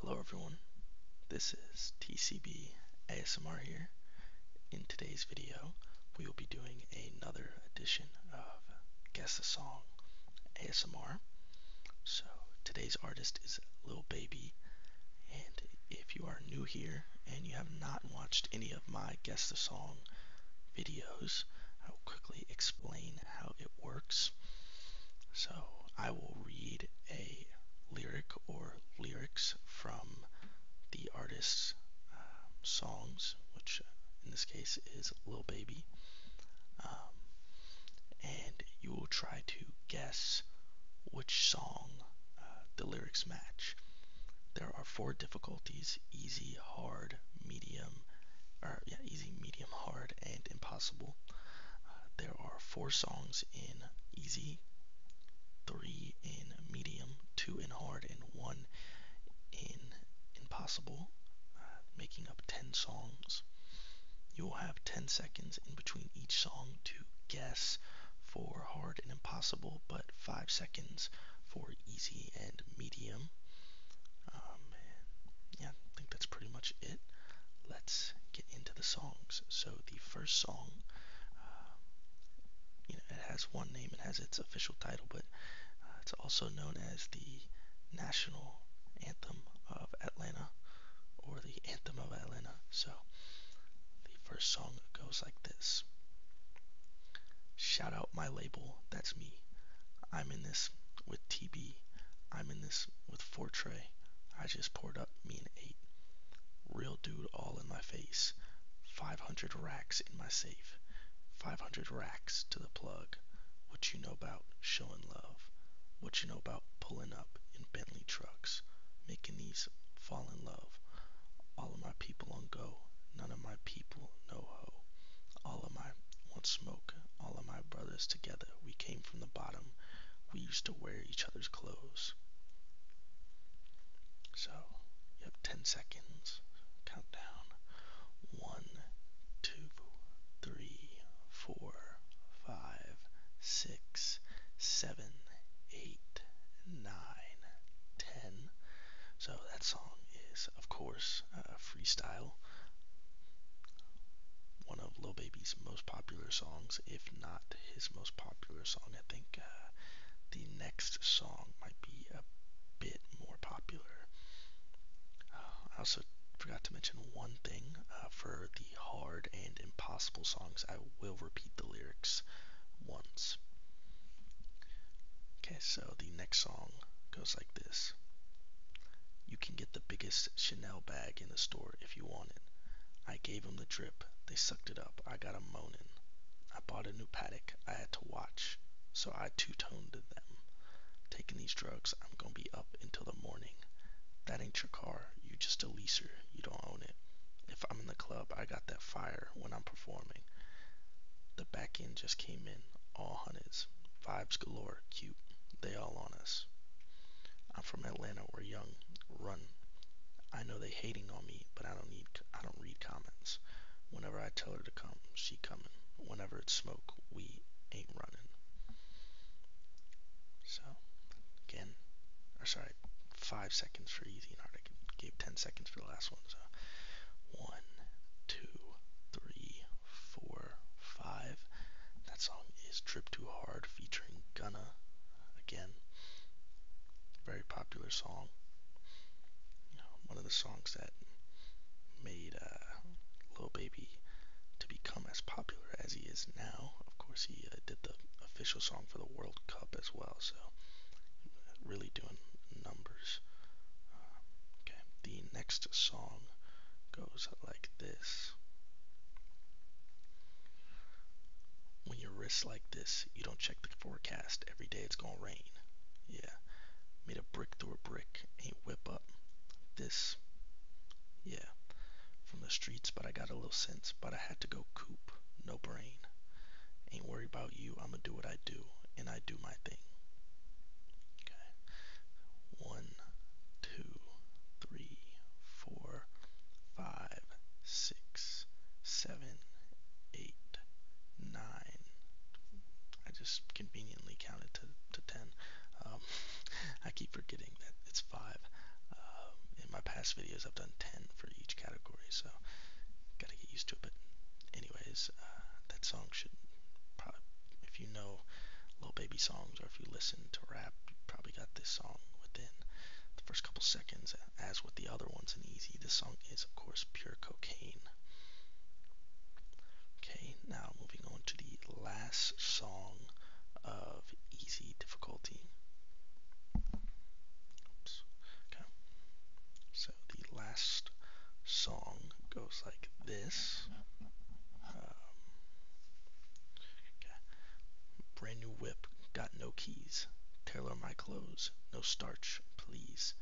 Hello everyone, this is TCB ASMR here. In today's video, we will be doing another edition of Guess the Song ASMR. So today's artist is Little Baby, and if you are new here and you have not watched any of my Guess the Song videos, I will quickly explain how it works. So I will read a lyric or lyrics from the artist's um, songs, which in this case is "Little Baby. Um, and you will try to guess which song uh, the lyrics match. There are four difficulties easy, hard, medium, or yeah, Easy, Medium, Hard, and Impossible. Uh, there are four songs in Easy, three in Medium, two in Hard, and one in Impossible, uh, making up 10 songs. You will have 10 seconds in between each song to guess for Hard and Impossible, but 5 seconds for Easy and Medium. Um, yeah, I think that's pretty much it. Let's get into the songs. So the first song, uh, you know, it has one name. It has its official title, but uh, it's also known as the national anthem of Atlanta, or the anthem of Atlanta. So the first song goes like this. Shout out my label, that's me. I'm in this with TB. I'm in this with Fortray. I just poured up mean eight. Real dude all in my face. 500 racks in my safe. 500 racks to the plug. What you know about showing love. What you know about pulling up in Bentley trucks. Making these fall in love. All of my people on go. None of my people no ho. All of my want smoke. All of my brothers. We came from the bottom. We used to wear each other's clothes. So you have 10 seconds. Count One, two, three, four, five, six, seven, eight, nine, ten. So that song is, of course, a uh, freestyle one of Lil Baby's most popular songs, if not his most popular song. I think uh, the next song might be a bit more popular. Uh, I also forgot to mention one thing uh, for the hard and impossible songs. I will repeat the lyrics once. Okay, so the next song goes like this. You can get the biggest Chanel bag in the store if you want it. I gave him the drip. They sucked it up. I got got 'em moaning. I bought a new paddock. I had to watch. So I two-toned them. Taking these drugs, I'm going to be up until the morning. That ain't your car. You just a leaser. You don't own it. If I'm in the club, I got that fire when I'm performing. The back end just came in. All hundreds. Vibes galore are cute. They all on us. I'm from Atlanta. We're young. Run. I know they hating on me, but I don't need. I don't read comments. Whenever I tell her to come, she coming. Whenever it's smoke, we ain't running. So, again, or sorry, five seconds for easy and hard. I gave ten seconds for the last one. So, one, two, three, four, 5. That song is Trip Too Hard featuring Gunna. Again, very popular song. one of the songs that made uh, Lil Baby to become as popular as he is now. Of course, he uh, did the official song for the World Cup as well, so really doing numbers. Uh, okay, the next song goes like this this. When your wrist's like this, you don't check the forecast. Every day it's gonna rain. Yeah. Made a brick through a brick. Ain't whip up. This. Yeah. From the streets, but I got a little sense. But I had to go coop. No brain. Ain't worried about you. I'ma do what I do. And I do my thing. Okay. One one, two, three, four, five, six, seven, eight, nine. I just conveniently counted to, to ten. Um, I keep forgetting that it's five. Um, in my past videos, I've done ten for each category, so gotta get used to it. But anyways, uh, that song should probably, if if you know Lil Baby songs or if you listen to rap, you probably got this song within the first couple seconds. As with the other ones in Easy, this song is, of course, pure cocaine. Okay, now moving on to the last song of Easy Difficulty. Okay. So the last song goes like this. Um, brand new whip, got no keys. Tailor my clothes, no starch, please.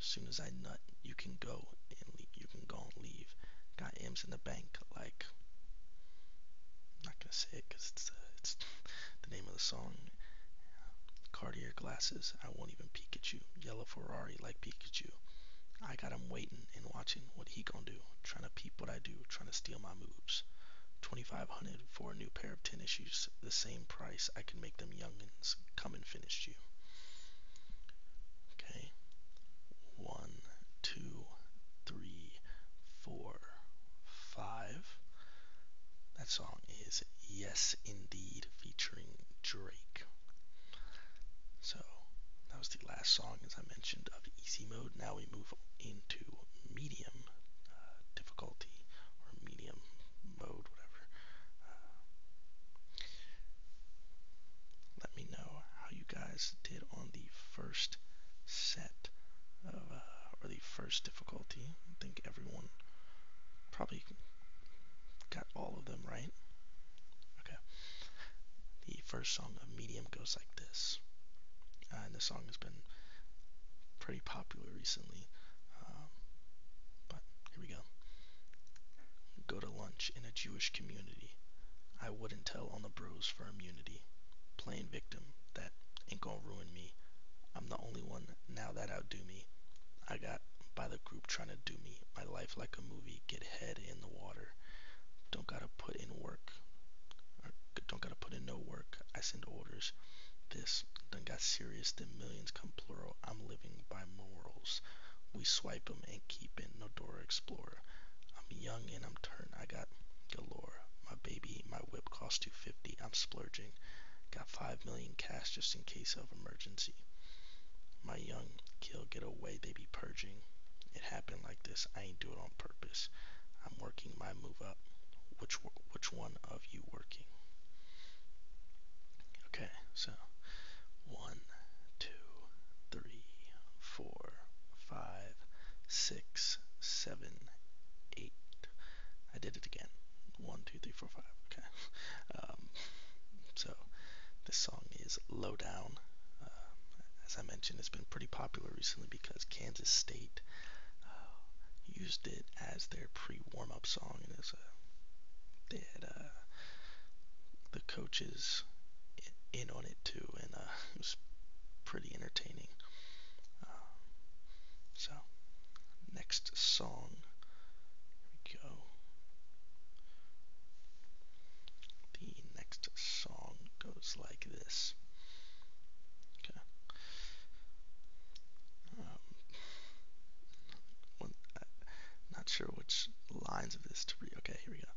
As soon as I nut, you can go and leave. you can go and leave. Got M's in the bank, like. I'm not gonna say it because uh, it's, the name of the song. Cartier glasses, I won't even peek at you. Yellow Ferrari like Pikachu. I got him waiting and watching what he gonna do, trying to peep what I do, trying to steal my moves. 2500 for a new pair of tennis shoes, the same price I can make them youngins come and finish you. Okay, one, two, three, four, five. That song is Yes Indeed featuring Drake. So that was last song, as I mentioned, of easy mode. Now we move into medium uh, difficulty or medium mode, whatever. Uh, let me know how you guys did on the first set uh, or the first difficulty. I think everyone probably got all of them right. Okay. The first song of Medium goes like this. Uh, and the song has been pretty popular recently. Um, but here we go. Go to lunch in a Jewish community. I wouldn't tell on the bros for immunity. Playing victim, that ain't gonna ruin me. I'm the only one now that outdo me. I got by the group trying to do me. My life like a movie, get head in the water. Don't gotta put in work. Or don't gotta put in no work. I send orders. This done got serious. Then millions come plural. I'm living by morals. We swipe 'em and keep it. No Dora Explorer. I'm young and I'm turned. I got galore. My baby, my whip costs 250. I'm splurging. Got 5 million cash just in case of emergency. My young kill get away. They be purging. It happened like this. I ain't do it on purpose. I'm working my move up. Which which one of you working? Okay, so one, two, three, four, five, six, seven, eight. I did it again. One, two, three, four, five. Okay. Um, so this song is Low Down uh, as I mentioned, it's been pretty popular recently because Kansas State uh, used it as their pre-warm-up song. It is a they had uh, the coaches in on it too, and uh, it was pretty entertaining. Um, so, next song, here we go. The next song goes like this. Okay. Um, not sure which lines of this to read. Okay, here we go.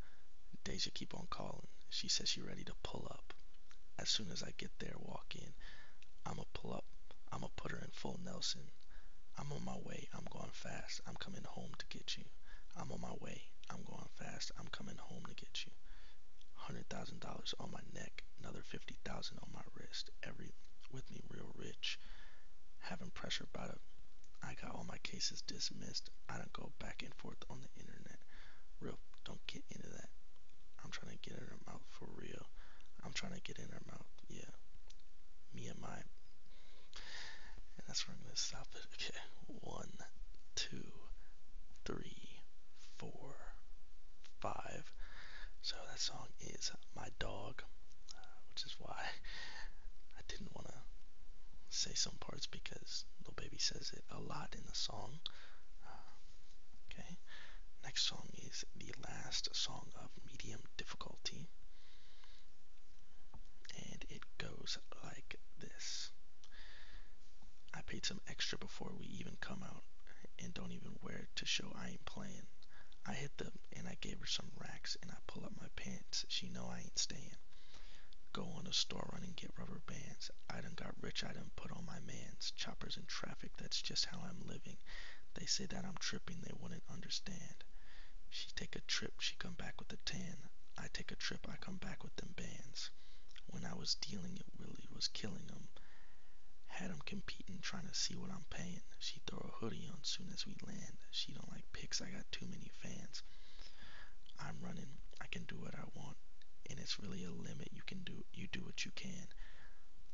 Deja keep on calling. She says she ready to pull up. As soon as I get there, walk in. I'ma pull up. I'ma put her in full Nelson. I'm on my way. I'm going fast. I'm coming home to get you. I'm on my way. I'm going fast. I'm coming home to get you. Hundred thousand dollars on my neck, another fifty thousand on my wrist. Every with me real rich. Having pressure about it. I got all my cases dismissed. I don't go back and forth on the internet. Real don't get into that. I'm trying to get in her mouth for real. I'm trying to get in her mouth, yeah. Me and my and that's where I'm gonna stop it. Okay. One, two three, four, five. So that song is My Dog, uh, which is why I didn't want to say some parts because Lil Baby says it a lot in the song. Uh, okay, next song is the last song of medium difficulty, and it goes goes like this. I paid some extra before we even come out and don't even wear it to show I ain't playing. I hit them and I gave her some racks and I pull up my pants. She know I ain't staying. Go on a store run and get rubber bands. I done got rich, I done put on my mans. Choppers in traffic, that's just how I'm living. They say that I'm tripping, they wouldn't understand. She take a trip, she come back with a tan. I take a trip, I come back with them bands when I was dealing it really was killing him. Had him competing, trying to see what I'm paying. She throw a hoodie on soon as we land. She don't like pics. I got too many fans. I'm running. I can do what I want, and it's really a limit. You can do you do what you can.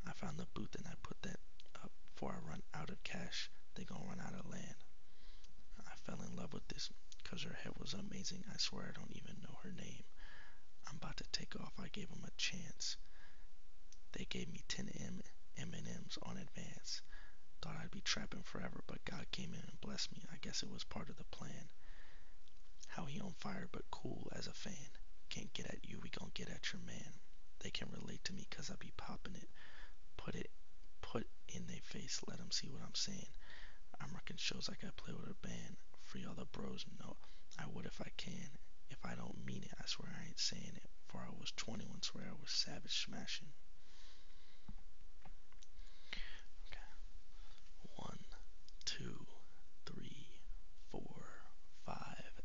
I found the booth and I put that up before I run out of cash. They gonna run out of land. I fell in love with this cause her her head was amazing. I swear I don't even know her name. I'm about to take off. I gave them a chance. They gave me 10 M M&Ms on advance. Thought I'd be trapping forever, but God came in and blessed me. I guess it was part of the plan. How he on fire but cool as a fan. Can't get at you, we gon' get at your man. They can relate to me 'cause I be popping it. Put it, put in their face, let 'em see what I'm saying. I'm rocking shows like I play with a band. Free all the bros, no. I would if I can. If I don't mean it, I swear I ain't saying it. For I was 21, swear I was savage smashing. Okay. One, two, three, four, five.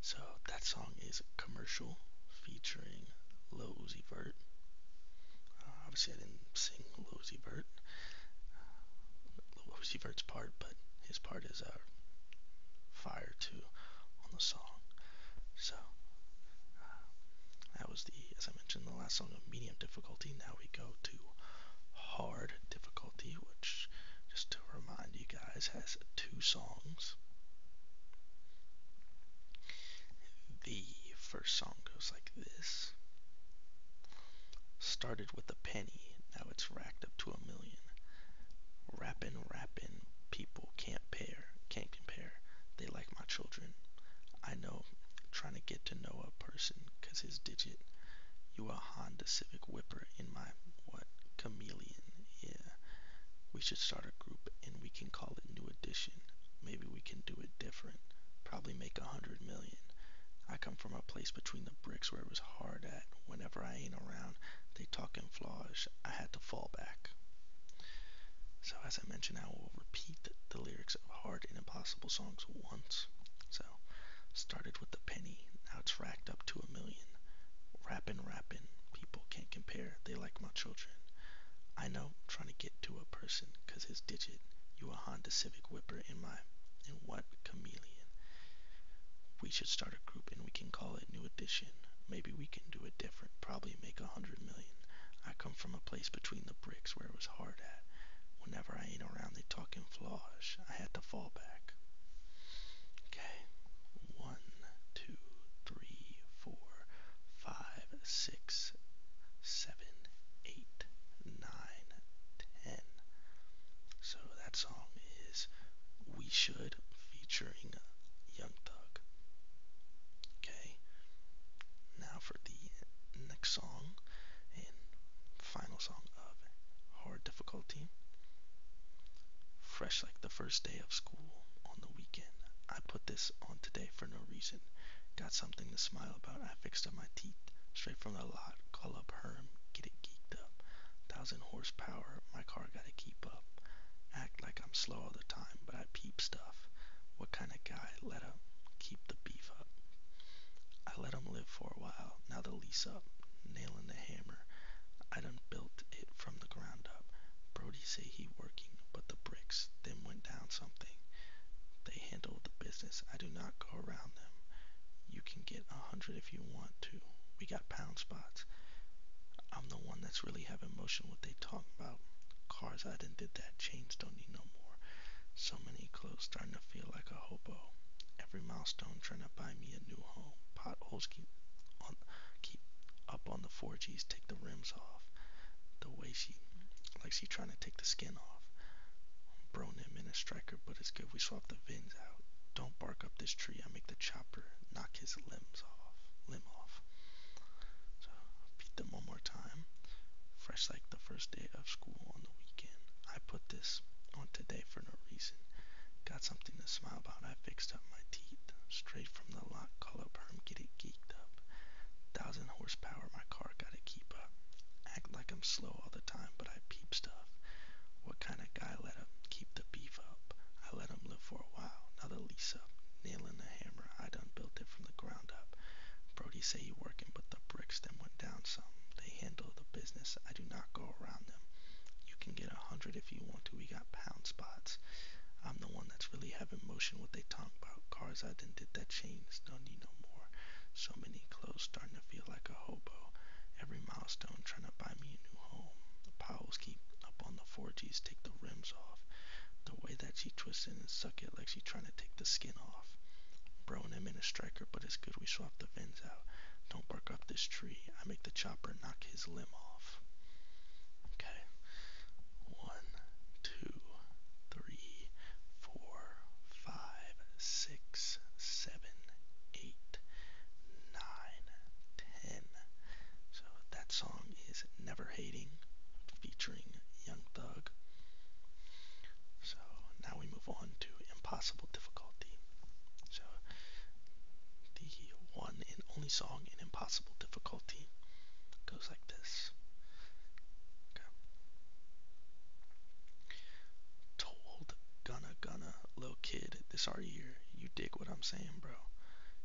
So that song is commercial featuring Lil Uzi Vert obviously, I didn't sing Losey Bert, uh, Bert's part, but his part is uh, fire too on the song. So uh, that was the, as I mentioned, the last song of medium difficulty. Now we go to hard difficulty, which, just to remind you guys, has two songs. The first song goes like this. Started with a penny, now it's racked up to a million. Rappin', rappin', people can't pair, can't compare. They like my children. I know, trying to get to know a person, cause his digit. You a Honda Civic Whipper in my, what, chameleon, yeah. We should start a group and we can call it New Edition vision. Maybe we can do it different. Probably make a hundred million. I come from a place between the bricks where it was hard at. Whenever I ain't around, they talking flaws. I had to fall back. So as I mentioned, I will repeat the lyrics of hard and impossible songs once. So started with a penny, now it's racked up to a million. Rappin', rappin', people can't compare. They like my children. I know know, trying to get to a person because his digit, you a Honda Civic Whipper in my, and what chameleon. We should start a group and we can call it New Edition. Maybe we can do it different, probably make a hundred million. I come from a place between the bricks where it was hard at. Whenever I ain't around, they talking flosh. I had to fall back. Okay. One, two, three, four, five, six, seven, eight, nine, ten. So that song is We Should featuring Young Thug. Okay, now for the next song and final song of Hard Difficulty. Fresh like the first day of school on the weekend. I put this on today for no reason. Got something to smile about. I fixed up my teeth straight from the lot. Call up Herm, get it geeked up. Thousand horsepower, my car gotta keep up. Act like I'm slow all the time, but I peep stuff. What kind of guy? Let him keep the beef up. I let him live for a while. Now the lease up, nailing the hammer. I done built it from the ground up. Brody say he working, but the bricks then went down something. They handle the business. I do not go around them. You can get a hundred if you want to. We got pound spots. I'm the one that's really having motion what they talk about. Cars I didn't did that. Chains don't need no more. So many clothes starting to feel like a hobo. Every milestone trying to buy me a new home. Potholes keep on keep up on the 4Gs, take the rims off. The way she like she trying to take the skin off. Bro Nim in a striker, but it's good we swap the vins out. Don't bark up this tree. I make the chopper knock his limbs off. Limb off. beat them one more time. Fresh like the first day of school on the weekend. I put this on today for no reason. Got something to smile about. I fixed up my teeth. Straight from the lock. Call up Herm. Get geeked up. Thousand horsepower, my car gotta keep up. Act like I'm slow all the time, but I peep stuff. What kind of guy let him keep the beef up? I let him live for a while, now the lease up. Nailing the hammer, I done built it from the ground up. Brody say he working, but the bricks then went down some. They handle the business, I do not go around them. You can get a hundred if you want to, we got pound spots. I'm the one that's really having motion what they talk about. Cars I done did that change, don't need no more. So many clothes starting to feel like a hobo. Every milestone trying to buy me a new home. The piles keep up on the 4Gs, take the rims off. The way that she twists it and suck it like she trying to take the skin off. Bro and him in a striker, but it's good we swapped the vins out. Don't bark up this tree. I make the chopper knock his limb off. Okay. One, two, three, four, five, six, seven, eight, nine, ten. So that song is Never Hating featuring Young Thug. So now we move on to Impossible Difficulty. So the one and only song in Impossible Difficulty goes like this. Okay. Told Gunna Gunna, little kid, this our year. You dig what I'm saying, bro?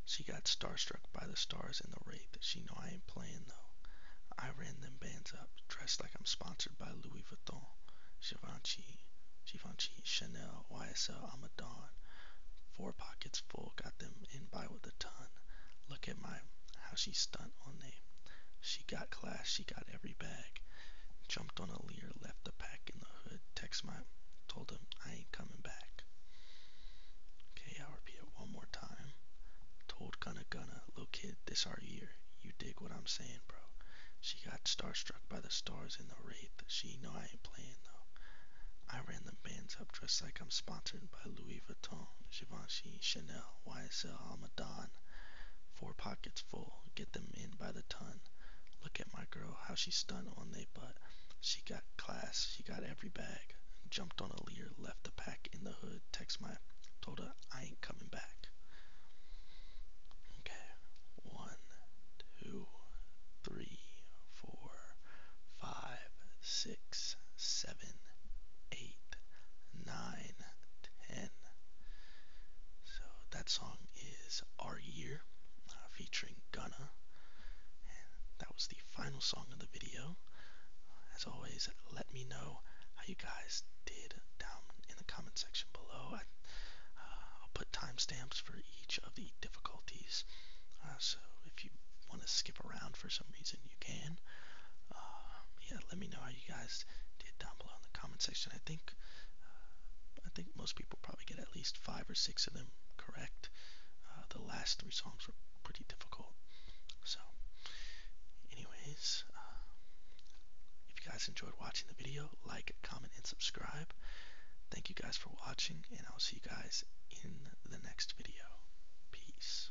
She got starstruck by the stars and the rate that She know I ain't playing though. I ran them bands up, dressed like I'm sponsored by Louis Vuitton, Givenchy, Givenchy, Chanel, YSL. i Four pockets full, got them in by with a ton. Look at my how she stunt on they. She got class, she got every bag. Jumped on a leer, left the pack in the hood. Text my told him I ain't coming back. Okay, I'll repeat it one more time. Told Gunna Gunna, little kid, this our year. You dig what I'm saying, bro? She got starstruck by the stars in the wraith. She know I ain't playing though. I ran the bands up dressed like I'm sponsored by Louis Vuitton. Givenchy, Chanel, YSL, Almadan, four pockets full, get them in by the ton. Look at my girl, how she stunned on they butt. She got class, she got every bag. Jumped on a leer, left the pack in the hood, text my, told her I ain't coming back. Okay, one, two, three, four, five, six, seven, eight, nine, 10. So that song is Our Year uh, featuring Gunna. that was the final song of the video. As always, let me know how you guys did down in the comment section below. I, will uh, put timestamps for each of the difficulties. Uh, so if you want to skip around for some reason, you can. Uh, yeah, let me know how you guys did down below in the comment section. I think uh, I think most people probably get at least five or six of them correct. Uh, the last three songs were pretty difficult. So, anyways, if you guys enjoyed watching the video, like, comment, and subscribe. Thank you guys for watching, and I'll see you guys in the next video. Peace.